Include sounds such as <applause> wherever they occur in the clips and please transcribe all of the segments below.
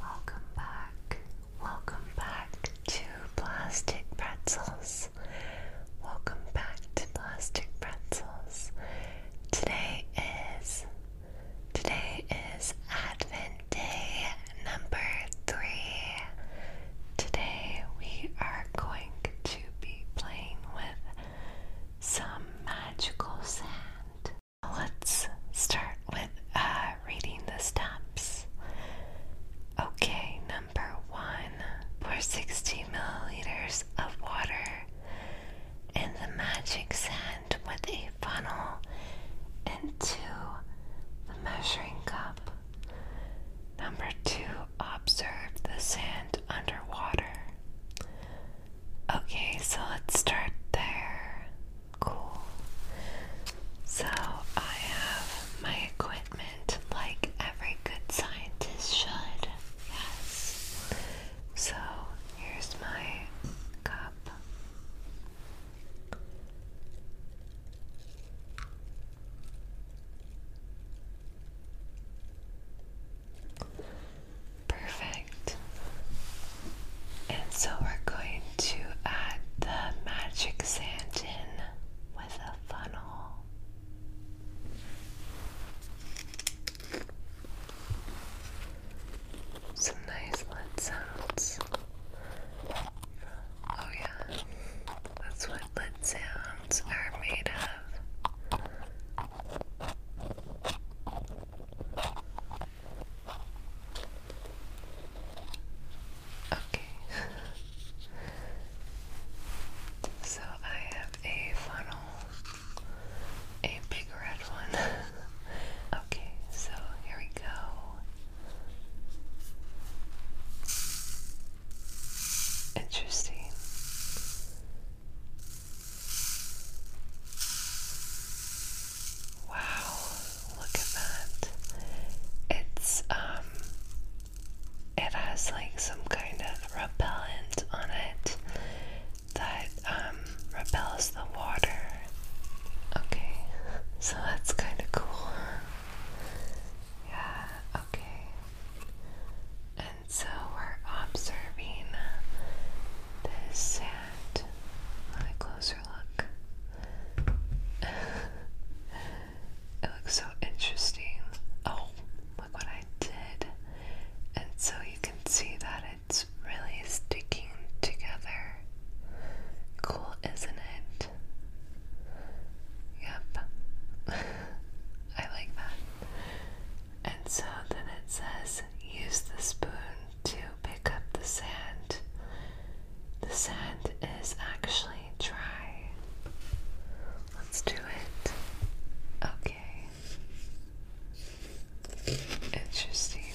Welcome back, welcome back to Plastic Pretzels. Welcome back to Plastic Pretzels. Today is today is Advent Day number three. Today we are going to be playing with some magical sand. Let's start with uh, reading the steps. Okay, number one pour 60 milliliters of water in the magic sand with a funnel into the measuring cup. Number two, observe the sand underwater. Okay, so let's start there. Cool. So I have my equipment like every good scientist should. Yes. So here's my cup. Perfect. And so we're going to add the magic sand in with a funnel. Some nice lead sounds. Oh, yeah, that's what lead sounds are made of. Okay. <laughs> so I have a funnel, a big red one. <laughs> okay, so here we go. Interesting. Wow, look at that. It's um it has like some kind of repellent on it that um repels the water. Okay. So that's kind of cool. Yeah, okay. And so we're observing this at a closer look. <laughs> it looks so interesting. Oh, look what I did. And so you can see that it's really sticking together. Cool, isn't it? Yep. <laughs> I like that. And so then it says use the spoon to pick up the sand. The sand is actually dry. Let's do it. Okay. Interesting.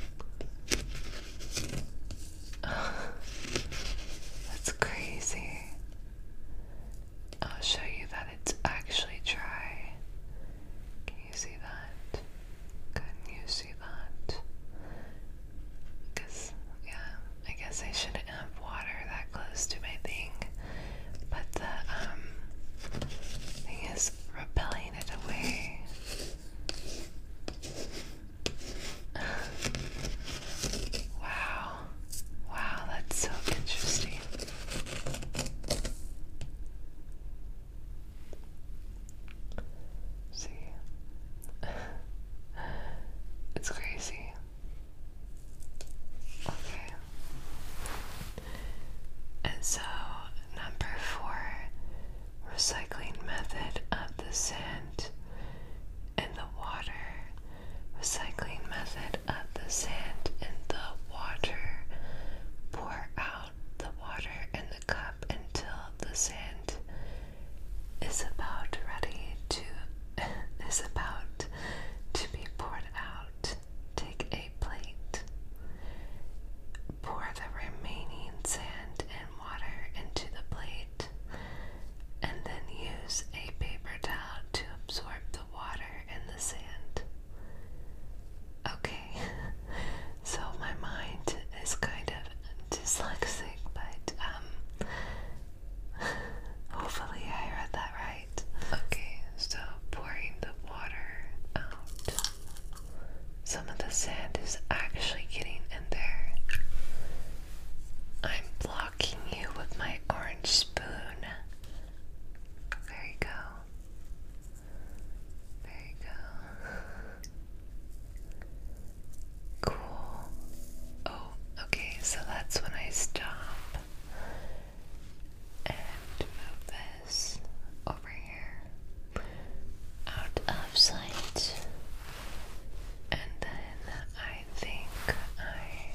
<laughs> That's crazy. I'll show you that it's actually dry. Can you see that? Can you see that? Because, yeah, I guess I shouldn't have water that close to my thing. But the um, thing is repelling it away. <laughs> wow. Wow, that's so interesting. See? <laughs> it's crazy. Okay. And so, number four recycling method of the sand and the water. Recycling method up the sand in the water. Pour out the water in the cup until the sand is about ready to <laughs> is about to be poured out. Take a plate. Pour the remaining sand and water into the plate and then use a paper towel to absorb the water and the sand. Okay, <laughs> so my mind is kind of dyslexic, but um, <laughs> hopefully I read that right. Okay, so pouring the water out. Some of the sand is actually getting in there. I'm blocking you with my orange spoon. There you go. There you go. Cool. Oh, okay, so that's when I stop and move this over here out of sight. And then I think I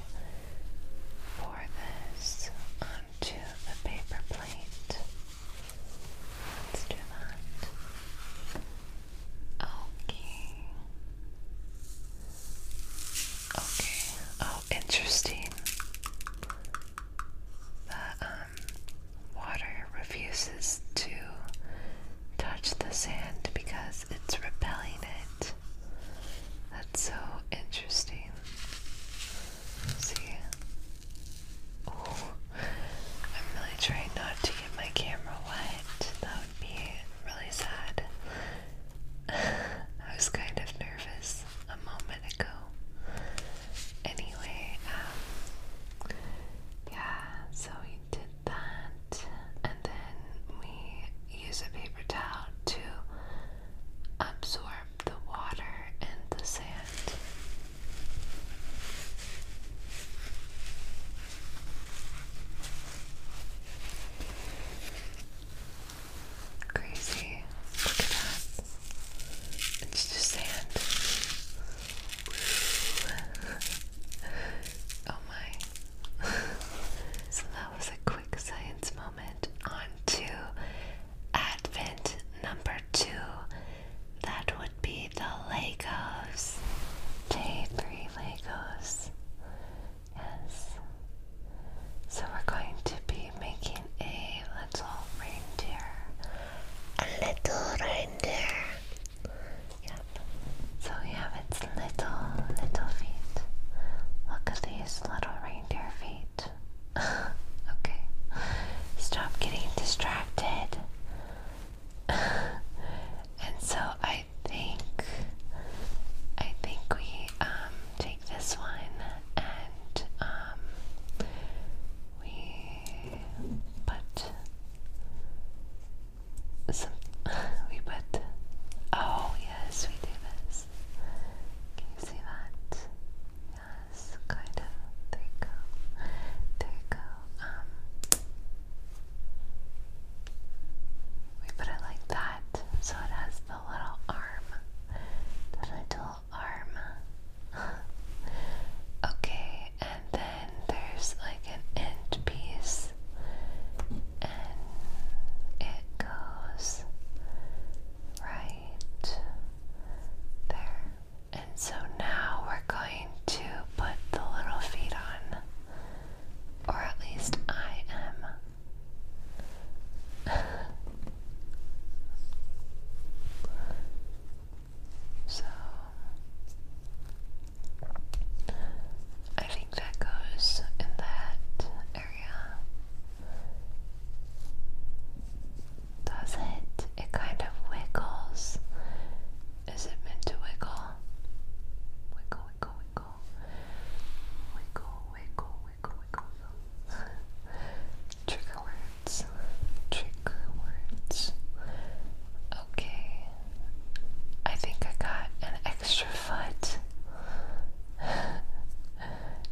pour this on to the paper plate. Let's do that. Okay. Okay. Oh, interesting. The um, water refuses to touch the sand because it's repelling it. That's so interesting. See? Oh, I'm really trying not to get my camera wet. That would be really sad. <laughs> I was kind of nervous a moment ago. Anyway, um, yeah, so we did that, and then we use a paper towel to absorb the water and the sand. Crazy. Look at that. It's just sand. oh my. <laughs> so that was a quick science moment moment Advent number two. That would be the Legos. Day three Legos. Yes. So we're going to be making a little reindeer. A little reindeer. Yep. So we have its little, little feet. Look at these little reindeer feet. <laughs> okay. Stop getting distracted. <laughs> and so I think I think we um, take this one and um, we put some <laughs> we put oh yes we do this Yes. Yes, kind of. There you go. There you go. Um, we put it like that, so it has the little arm. The little arm. <laughs> okay, and then there's like an end piece, and it goes right there. And so now we're going to put the little feet on, or at least I am. <laughs> so I think that goes in that does it? It kind of wiggles. Is it meant to wiggle? Wiggle, wiggle, wiggle. Wiggle, wiggle, wiggle, wiggle. <laughs> Trigger words. Trigger words. Okay. I think I got an extra foot. <laughs>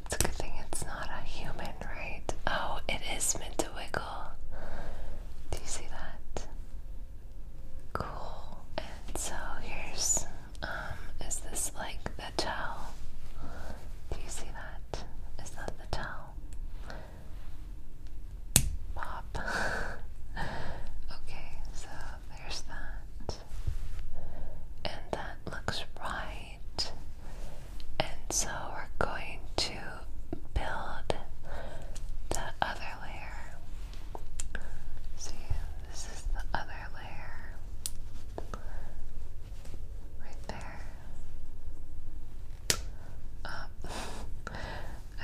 It's a good thing it's not a human, right? Oh, it is meant to wiggle. Do you see that? Cool. And so here's um is this like the towel? Do you see that? Is that the towel? Pop. <laughs> okay, so there's that and that looks right. And so we're going to build the other layer. See, this is the other layer right there. Um,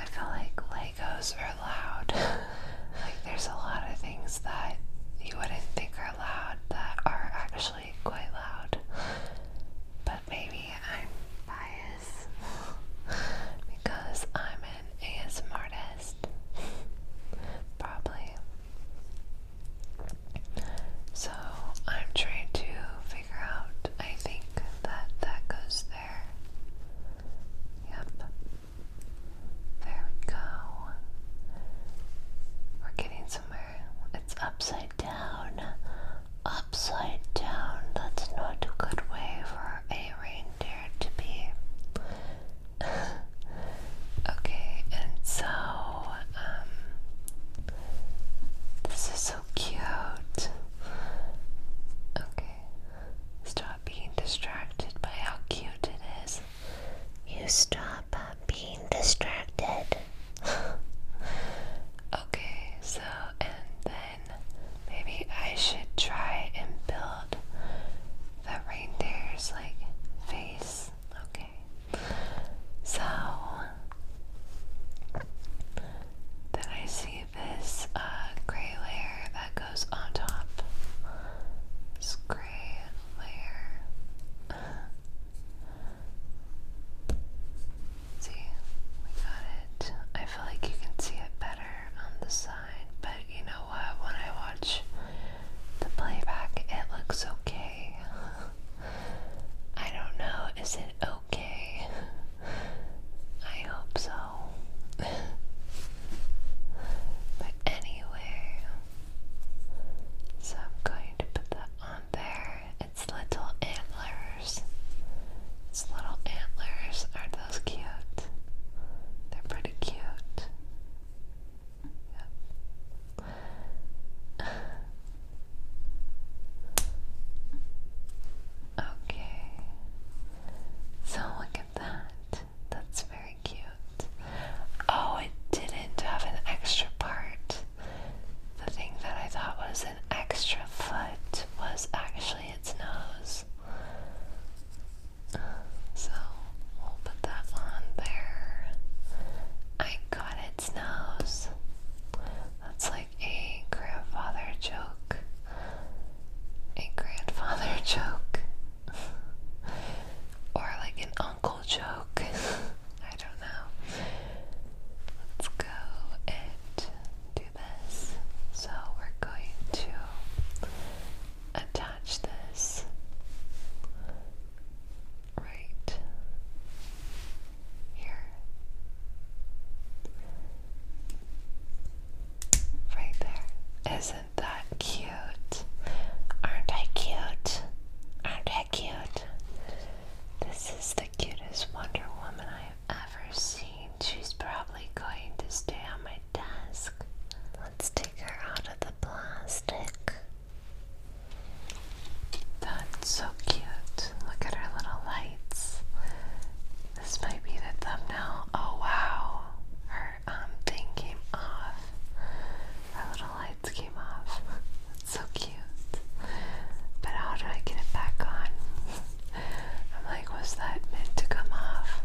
<laughs> I feel like Legos are loud. <laughs> like, there's a lot of things that you wouldn't think are are that are actually quite loud. But maybe I'm biased because I'm an ASMR artist. Probably. So I'm trying to figure out, I think that that goes there. Yep. There we go. We're getting somewhere. It's upside down. Upside down. That's not a good way for a reindeer to be. <laughs> okay, and so, um, this is so cute. Okay, stop being distracted by how cute it is you stop uh, being distracted. <laughs> okay, so, and then maybe I should try and build the reindeer's like face. Okay, so then I see this uh, gray layer that goes on top. It's gray layer. see, we got it. I feel like you can see it better on the side, but you know what? When I watch the playback, it looks okay. <laughs> I don't know, is it okay? <laughs> I hope so. <laughs> but anyway, so I'm going to put that on there. It's little antlers. Its little antlers. are those cute? They're pretty cute. Yep. <laughs> Okay. So look at that. That's very cute. Oh, it didn't have an extra part. The thing that I thought was an extra foot was actually its nose. So we'll put that on there. I got its nose. That's like a grandfather joke. A grandfather <laughs> joke. or like an uncle joke. <laughs> I don't know. Let's go and do this. So we're going to attach this right here. Right there. Isn't that cute? Aren't I cute? Aren't I cute? This is the cutest Wonder Woman I've ever seen. She's probably going to stay on my desk. Let's take her out of the plastic. That's so cute. Look at her little lights. This might be the thumbnail. Oh wow. Um, thing came off. Our little lights came off. so cute. But how do I get it back on? I'm like, was that meant to come off?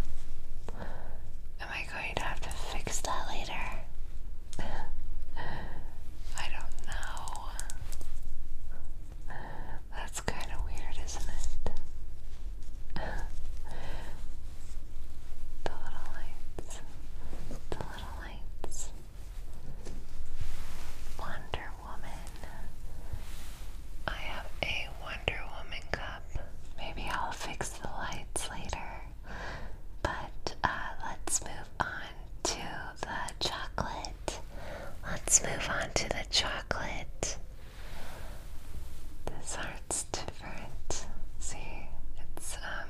Am I going to have to fix that later? I don't know. That's kind of weird, isn't it? the little lights little lights. Wonder Woman. I have a Wonder Woman cup. Maybe I'll fix the lights later. But uh, let's move on to the chocolate. Let's move on to the chocolate. This art's different. See, it's um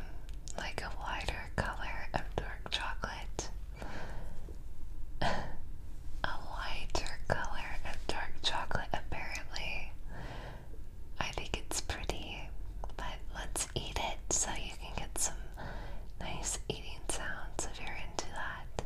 like a lighter color of dark chocolate. <laughs> a lighter color of dark chocolate, apparently. I think it's pretty, but let's eat it so you can get some nice eating sounds if you're into that.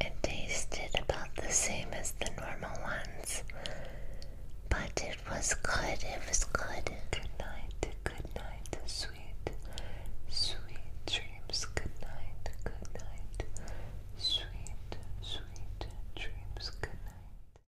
It tasted about the same as the normal ones, but it was good. It was good. Good night. Good night. Sweet, sweet dreams. Good night. Good night. Sweet, sweet dreams. Good night.